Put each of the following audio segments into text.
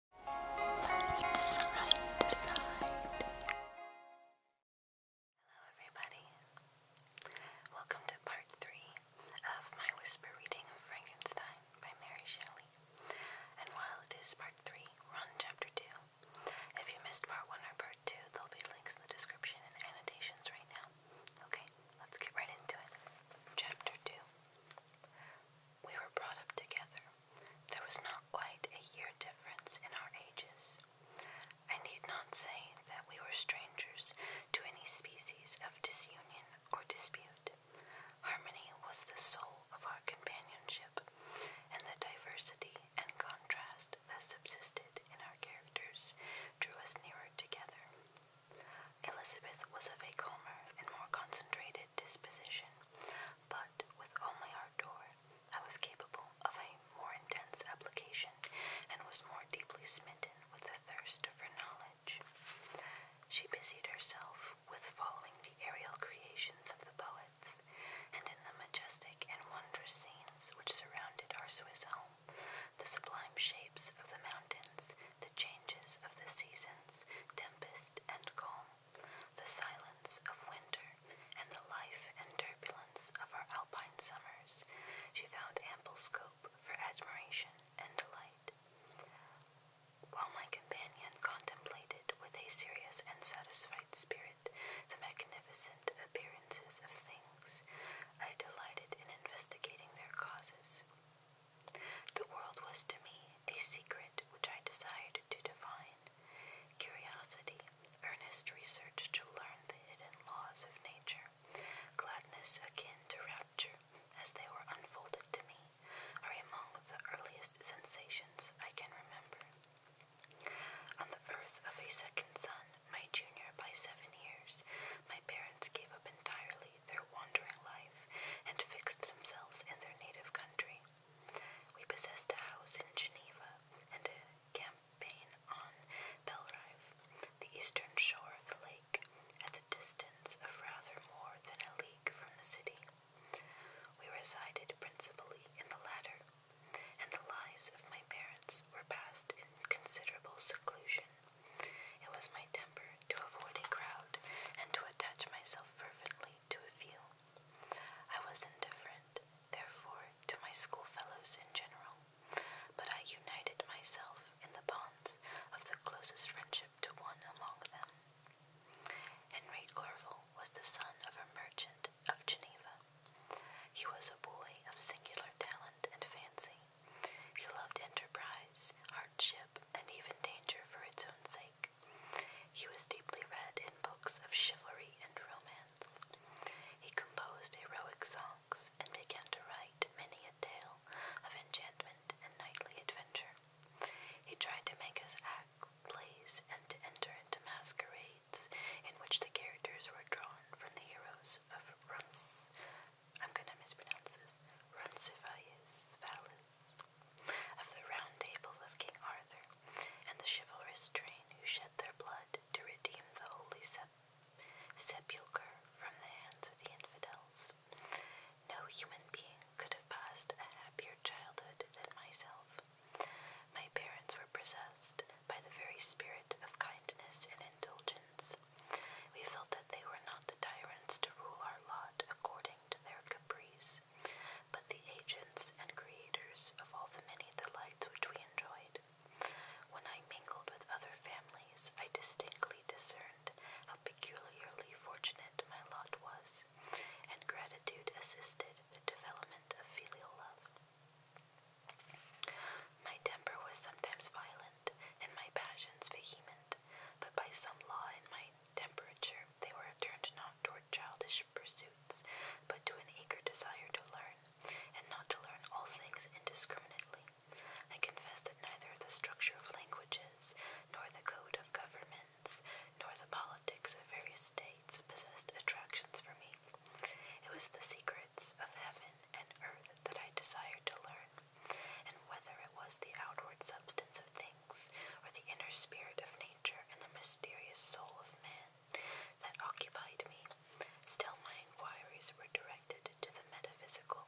Hello, everybody. Welcome to part three of my whisper reading of Frankenstein by Mary Shelley. And while it is part three, we're on chapter two. If you missed part one or part two, there'll be links in the description and annotations right now. Okay, let's get right into it. Chapter two. We were brought up together. There was not quite a year difference in our ages. I need not say that we were strangers to any species of disunion or dispute. Harmony was the soul of our companionship, and the diversity and contrast that subsisted in our characters drew us nearer together. Elizabeth was of a calmer and more concentrated disposition, but with only Ardor, I was capable of a more intense application and was more deeply smitten with the thirst for knowledge. She busied herself with following the aerial creations of the poets, and in the majestic and wondrous scenes which surrounded our Swiss home, the sublime shapes of the mountains, the changes of the seasons, seasons, and calm, the silence of winter, and the life and turbulence of our alpine summers, she found ample scope for admiration and delight. While my companion contemplated with a serious and satisfied spirit the magnificent appearances of things, I delighted in investigating their causes. The world was to me a secret which I desired to divine. Curiosity, earnest research to learn the hidden laws of nature, gladness akin to rapture as they were unfolded to me, are among the earliest sensations I can remember. On the birth of a second son, my junior by seven years, my parents gave up entirely their wandering life and fixed themselves in their native country. We possessed a house in Geneva and a campaign on Belrive, the eastern shore of the lake, at the distance of rather more than a league from the city. We resided principally in the latter, and the lives of my parents were passed in considerable seclusion. It was my temper to avoid a crowd and to attach myself fervently to a few. I was indifferent, therefore, to my schoolfellows in general, but I united myself in the bonds of the closest friendship to one among them. Henry Clerval was the son of a merchant of Geneva. He was a boy of singular talent and fancy. He loved enterprise, hardship, and even danger for its own sake. He was deeply read in books of chivalry and romance. He composed heroic songs and began to write many a tale of enchantment and knightly adventure. He tried to make his act plays and to enter into masquerades in which the characters were drawn from the heroes of Rons I'm going to mispronounce this, Roncesvalles Valles, of the Round Table of King Arthur, and the chivalrous train who shed their blood to redeem the holy sepulchre from the hands of the infidels. No human being could have passed a happier childhood than myself. My parents were possessed by the very spirit of kindness and indulgence, we felt that they were not the tyrants to rule our lot according to their caprice, but the agents and creators of all the many delights which we enjoyed. When I mingled with other families, I distinctly discerned how peculiarly fortunate my lot was, and gratitude assisted the development of filial love. My temper was sometimes violent and my passions vehement, but by some law in my temperature they were turned not toward childish pursuits, but to an eager desire to learn, and not to learn all things indiscriminately. I confess that neither the structure of languages, nor the code of governments, nor the politics of various states possessed attractions for me. It was the secrets of heaven and earth that I desired to learn, and whether it was the outward substance of things, or the inner spirit of nature and the mysterious soul of man, that occupied me, still my inquiries were directed to the metaphysical,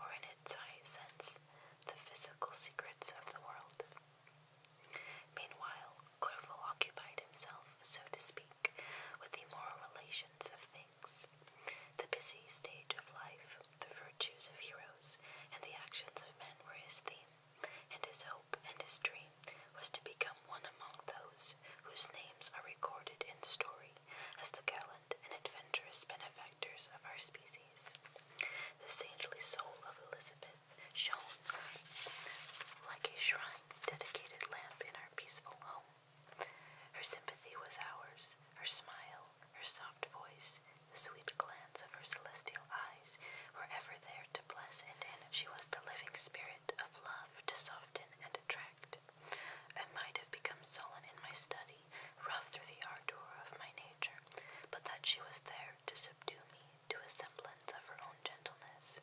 or in its highest sense, the physical secrets of the world. Meanwhile, Clerval occupied himself, so to speak, with the moral relations of things the busy stage of life, the virtues of heroes, and the actions of men were his theme, and his hope and his dream was to become one among those whose names are recorded in story as the gallant and adventurous benefactors of our species. The saintly soul of Elizabeth shone like a shrine dedicated lamp in our peaceful home. Her sympathy was ours, her smile, her soft voice, the sweet glance of her celestial eyes were ever there to bless and animate. She was the living spirit of love to soften and attract. I might have become sullen in my study, rough through the ardor of my nature, but that she was there to subdue me to a semblance of her own gentleness.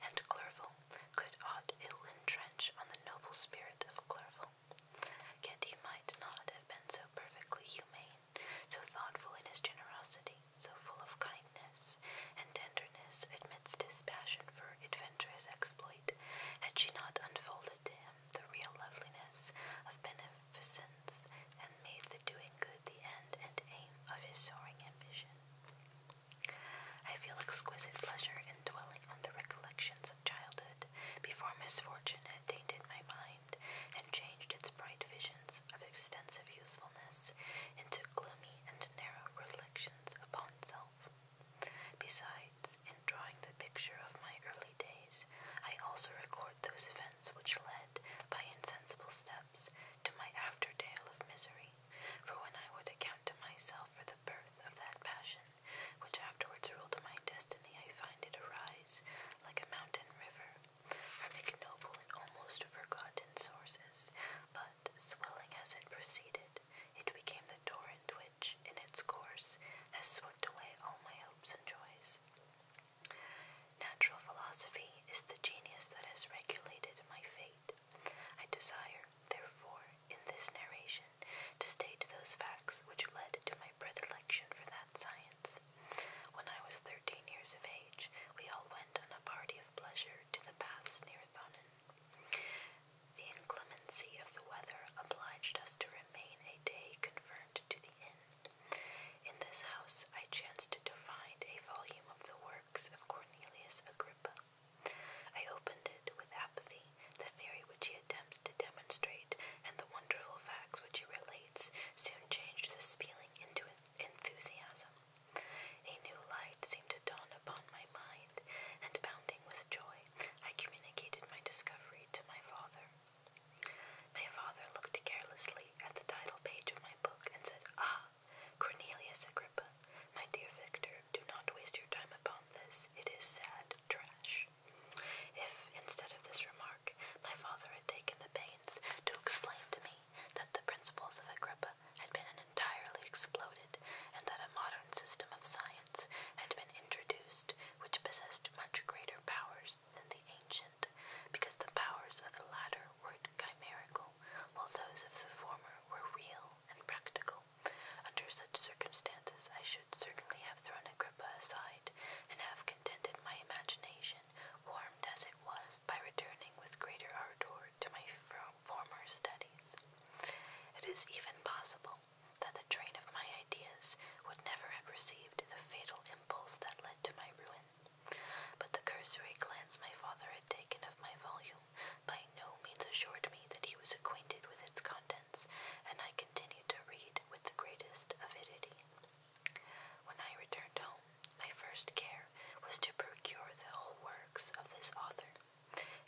And Clerval, could aught ill entrench on the noble spirit of Clerval? Yet he might not have been so perfectly humane, so thoughtful in his generosity, so full of kindness and tenderness amidst his passion for adventurous exploit, had she not unfolded to him the real loveliness of beneficence and made the doing good the end and aim of his soaring ambition. I feel exquisite pleasure in dwelling on the recollections of childhood before misfortune had tainted my mind and changed its bright visions of extensive usefulness into gloomy and narrow reflections upon self. Besides, in drawing the picture of my early days, I also record those events which led, by insensible steps, to my after tale of misery, for when I would account to myself for the birth of that passion, which afterwards ruled my destiny, I find it arise like a mountain river from ignoble and almost forgotten sources, but swelling as it proceeded, it became the torrent which, in its course, has swept away all my hopes and joys. Natural philosophy is the genius that has regulated my fate. I desire, therefore, in this narration, to state those facts which led to my predilection for that science. When I was thirteen years of age, we all went on a party of pleasure to the paths near Thonon. The inclemency of the weather obliged us to remain a day confirmed to the inn. In this house I chanced to find a volume of the works of Cornelius Agrippa, I opened it with apathy, the theory which he attempts to demonstrate, and the wonderful facts which he relates soon changed this feeling into enthusiasm. A new light seemed to dawn upon my mind, and bounding with joy, I communicated my discovery to my father. My father looked carelessly at the title page of my book and said, Ah, Cornelius my dear Victor, do not waste your time upon this. It is sad trash. If, instead of this remark, my father had taken the pains to explain to me that the principles of Agrippa had been entirely exploded, and that a modern system of science had been introduced which possessed much greater powers than the ancient, because the powers of the latter were chimerical, while those of the former were real and practical. Under such circumstances, I should certainly have thrown Agrippa aside, and have contented my imagination, warmed as it was, by returning with greater ardour to my former studies. It is even possible that the train of my ideas would never have received the fatal impulse that led to my ruin. But the cursory glance my father had taken of my volume by no means assured me that he was acquainted with its contents, and I continued to read with the greatest avidity. When I returned home, my first care was to procure the whole works of this author,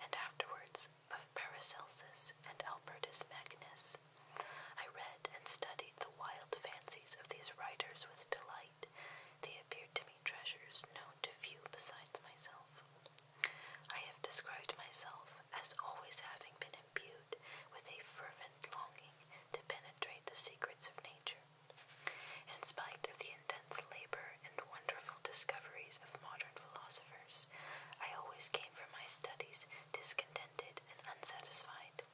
and afterwards of Paracelsus and Albertus Magnus. I read and studied the wild fancies of these writers with delight. They appeared to me treasures known to few besides myself. I have described myself as always having been imbued with a fervent longing to penetrate the secrets of nature. In spite of the intense labor and wonderful discoveries of modern philosophers, I always came from my studies discontented and unsatisfied.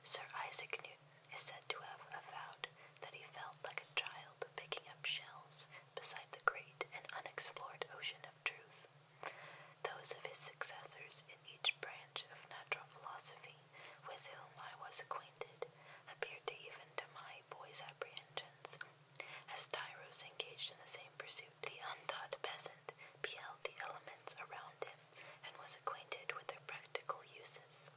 Sir Isaac Newton is said to have avowed that he felt like a child picking up shells beside the great and unexplored ocean of truth. Those of his successors in each branch of natural philosophy with whom I was acquainted appeared to even to my boy's apprehensions. As Tyros engaged in the same pursuit, the untaught peasant beheld the elements around him and was acquainted with their practical uses.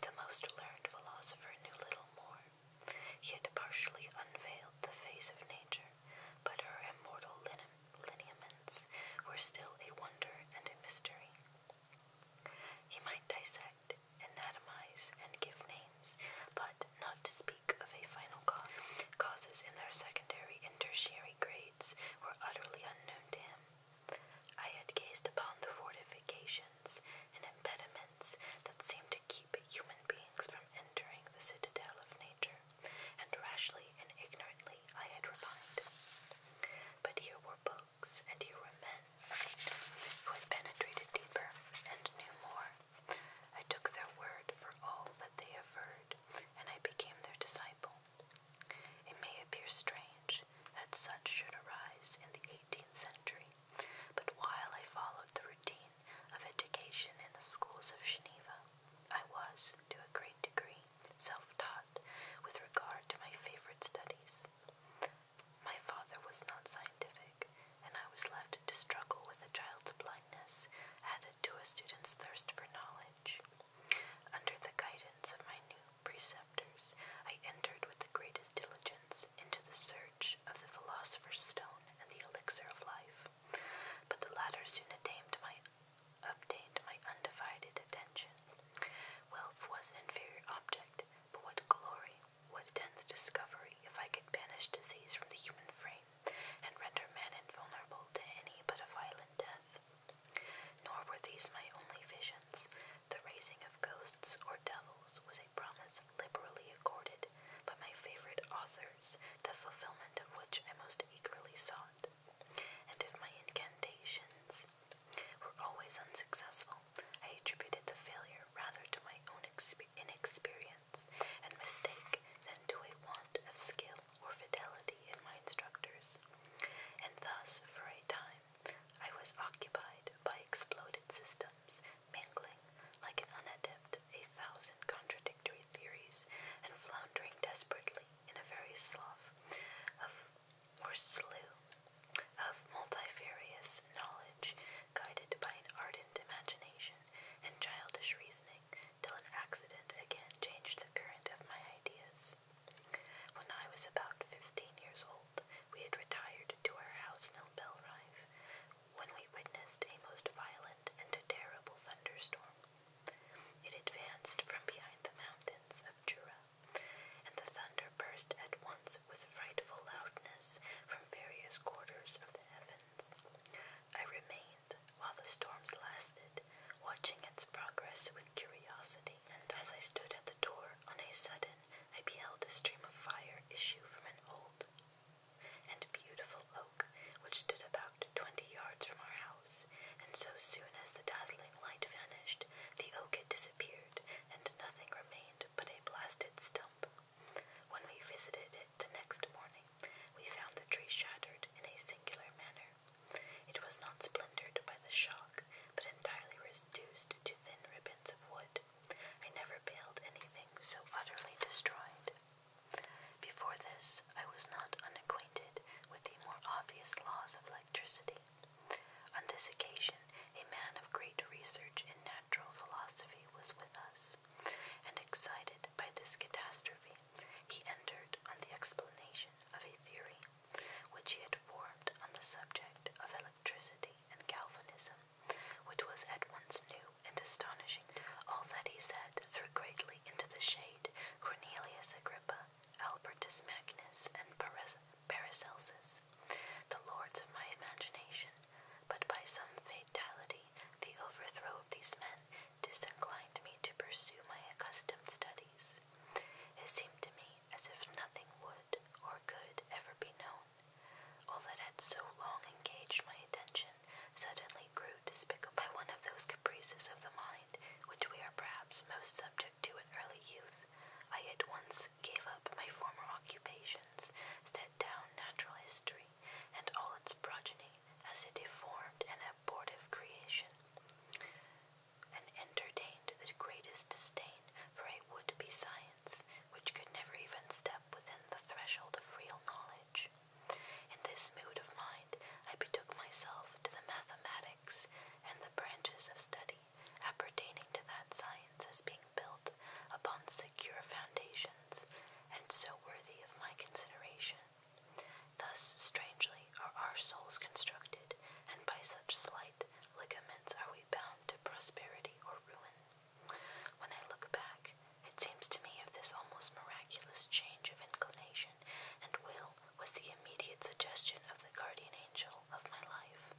The most learned philosopher knew little more he had partially unveiled the face of nature, but her immortal lineaments were still a wonder and a mystery. He might dissect, anatomize, and give names, but not to speak of a final cause. Causes in their secondary and tertiary grades were utterly unknown to him. I had gazed upon the fortification and impediments that seem to keep human beings from entering the citadel of nature, and rashly and ignorantly I had repined. But here were books, and here were men who had penetrated deeper and knew more. I took their word for all that they averred, and I became their disciple. It may appear strange that such should arise in the eighteenth century, but while I followed the routine of education in the schools of Geneva, I was, to a great degree, self taught with regard to my favorite studies. My father was not scientific, and I was left to struggle with a child's blindness added to a student's thirst for knowledge. Under the guidance of my new preceptors, I entered with the greatest diligence into the search of the philosopher's stone and the elixir of life. But the latter soon attained obtained my undivided attention. Wealth was an inferior object, but what glory would attend the discovery if I could banish disease from the human frame and render man invulnerable to any but a violent death? Nor were these my only visions the raising of ghosts or devils was a promise liberally accorded by my favorite authors, the fulfillment of which I most eagerly sought. And if my incantations were always unsuccessful, I attributed the failure rather to my own inexperience and mistake than to a want of skill or fidelity in my instructors. And thus, for a time, I was occupied by exploded systems, mingling, like an unadept, a thousand contradictory theories, and floundering desperately in a very slough of, or slough, of multifarious knowledge, guided by an ardent imagination and childish reasoning, till an accident again changed the current of my ideas. When I was about fifteen years old, we had retired to our house near Belrive when we witnessed a most violent and terrible thunderstorm. It advanced from behind the mountains of Jura, and the thunder burst at once with frightful loudness from various quarters of the heavens. I remained, while the storms lasted, watching its progress with curiosity and as I stood at the door, on a sudden I beheld a stream of fire issue from an old and beautiful oak which stood about twenty yards from our house, and so soon as the dazzling light vanished, the oak had disappeared, and nothing remained but a blasted stump. When we visited it the next morning, we found the tree shattered in a singular manner. It was not splintered by the shock, but entirely reduced to thin ribbons of wood. I never beheld anything so utterly destroyed. Before this, I was not unacquainted with the more obvious laws of electricity. On this occasion, a man of great research in natural philosophy was with us, and excited by this catastrophe, he entered on the explanation of a theory which he had formed on the subject of electricity and galvanism, which was at once new and astonishing. All that he said threw greatly into the shade Cornelius Agrippa, Albertus Magnus, and Paracelsus, the lords of my imagination, but by some fatality, the overthrow of these men disinclined me to pursue my accustomed studies. It seemed to me as if nothing would or could ever be known. All that had so long engaged my attention suddenly grew despised by one of those caprices of the mind which we are perhaps most subject to in early youth. I at once gave up my former occupations, set down natural history and all its progeny as a deformed and abortive creation and entertained the greatest disdain for a would be science which could never even step within the threshold of real knowledge. In this mood of mind, I betook myself to the mathematics and the branches of study appertaining to that science as being built upon secure foundations and so worthy of my consideration. Thus, strangely, are our souls constructed, and by such slight ligaments are we bound to prosperity or ruin. When I look back, it seems to me of this almost miraculous change of inclination and will was the immediate suggestion of the guardian angel of my life,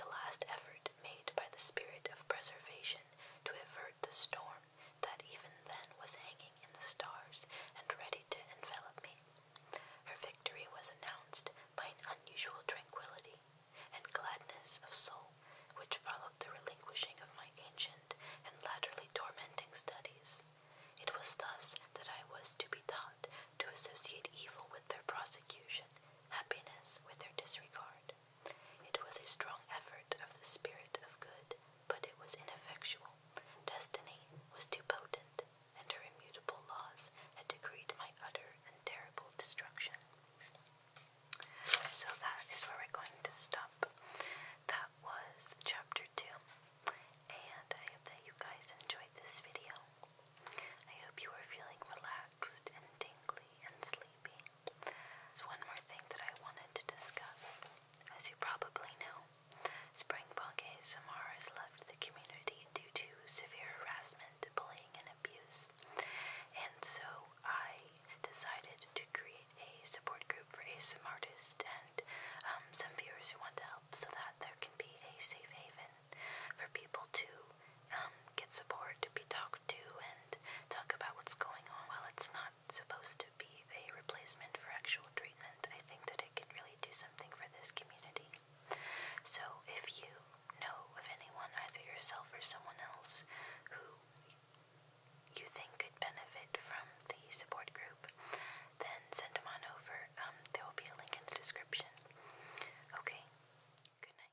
the last effort made by the spirit of preservation to avert the storm that even then was hanging in the stars and ready to envelop me. Her victory was announced by an unusual tranquility and gladness of soul which followed the relinquishing of my ancient and latterly tormenting studies. It was thus that I was to be taught to associate evil with their prosecution, happiness with their disregard. It was a strong effort of the spirit of good, but it was ineffectual. Destiny was too potent and her immutable laws had decreed my utter and terrible destruction. So that is where we're going to stop. That was chapter 2, and I hope that you guys enjoyed this video. I hope you are feeling relaxed and tingly and sleepy. There's one more thing that I wanted to discuss. As you probably know, Springbok ASMR has left the community due to severe harassment, bullying, and abuse, and so I decided to create a support group for ASMR artists and um, some viewers who want to help so that there can be a safe haven for people to um, get support, to be talked to, and talk about what's going on. While it's not supposed to be a replacement for actual treatment. I think that it could really do something for this community. So if you know of anyone, either yourself or someone else, who you think could benefit from the support group, then send them on over. Um, there will be a link in the description. Okay, good night.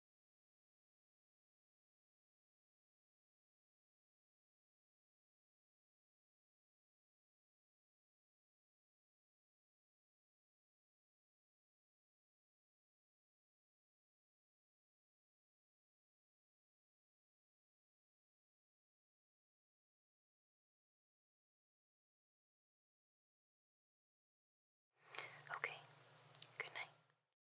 Okay, good night.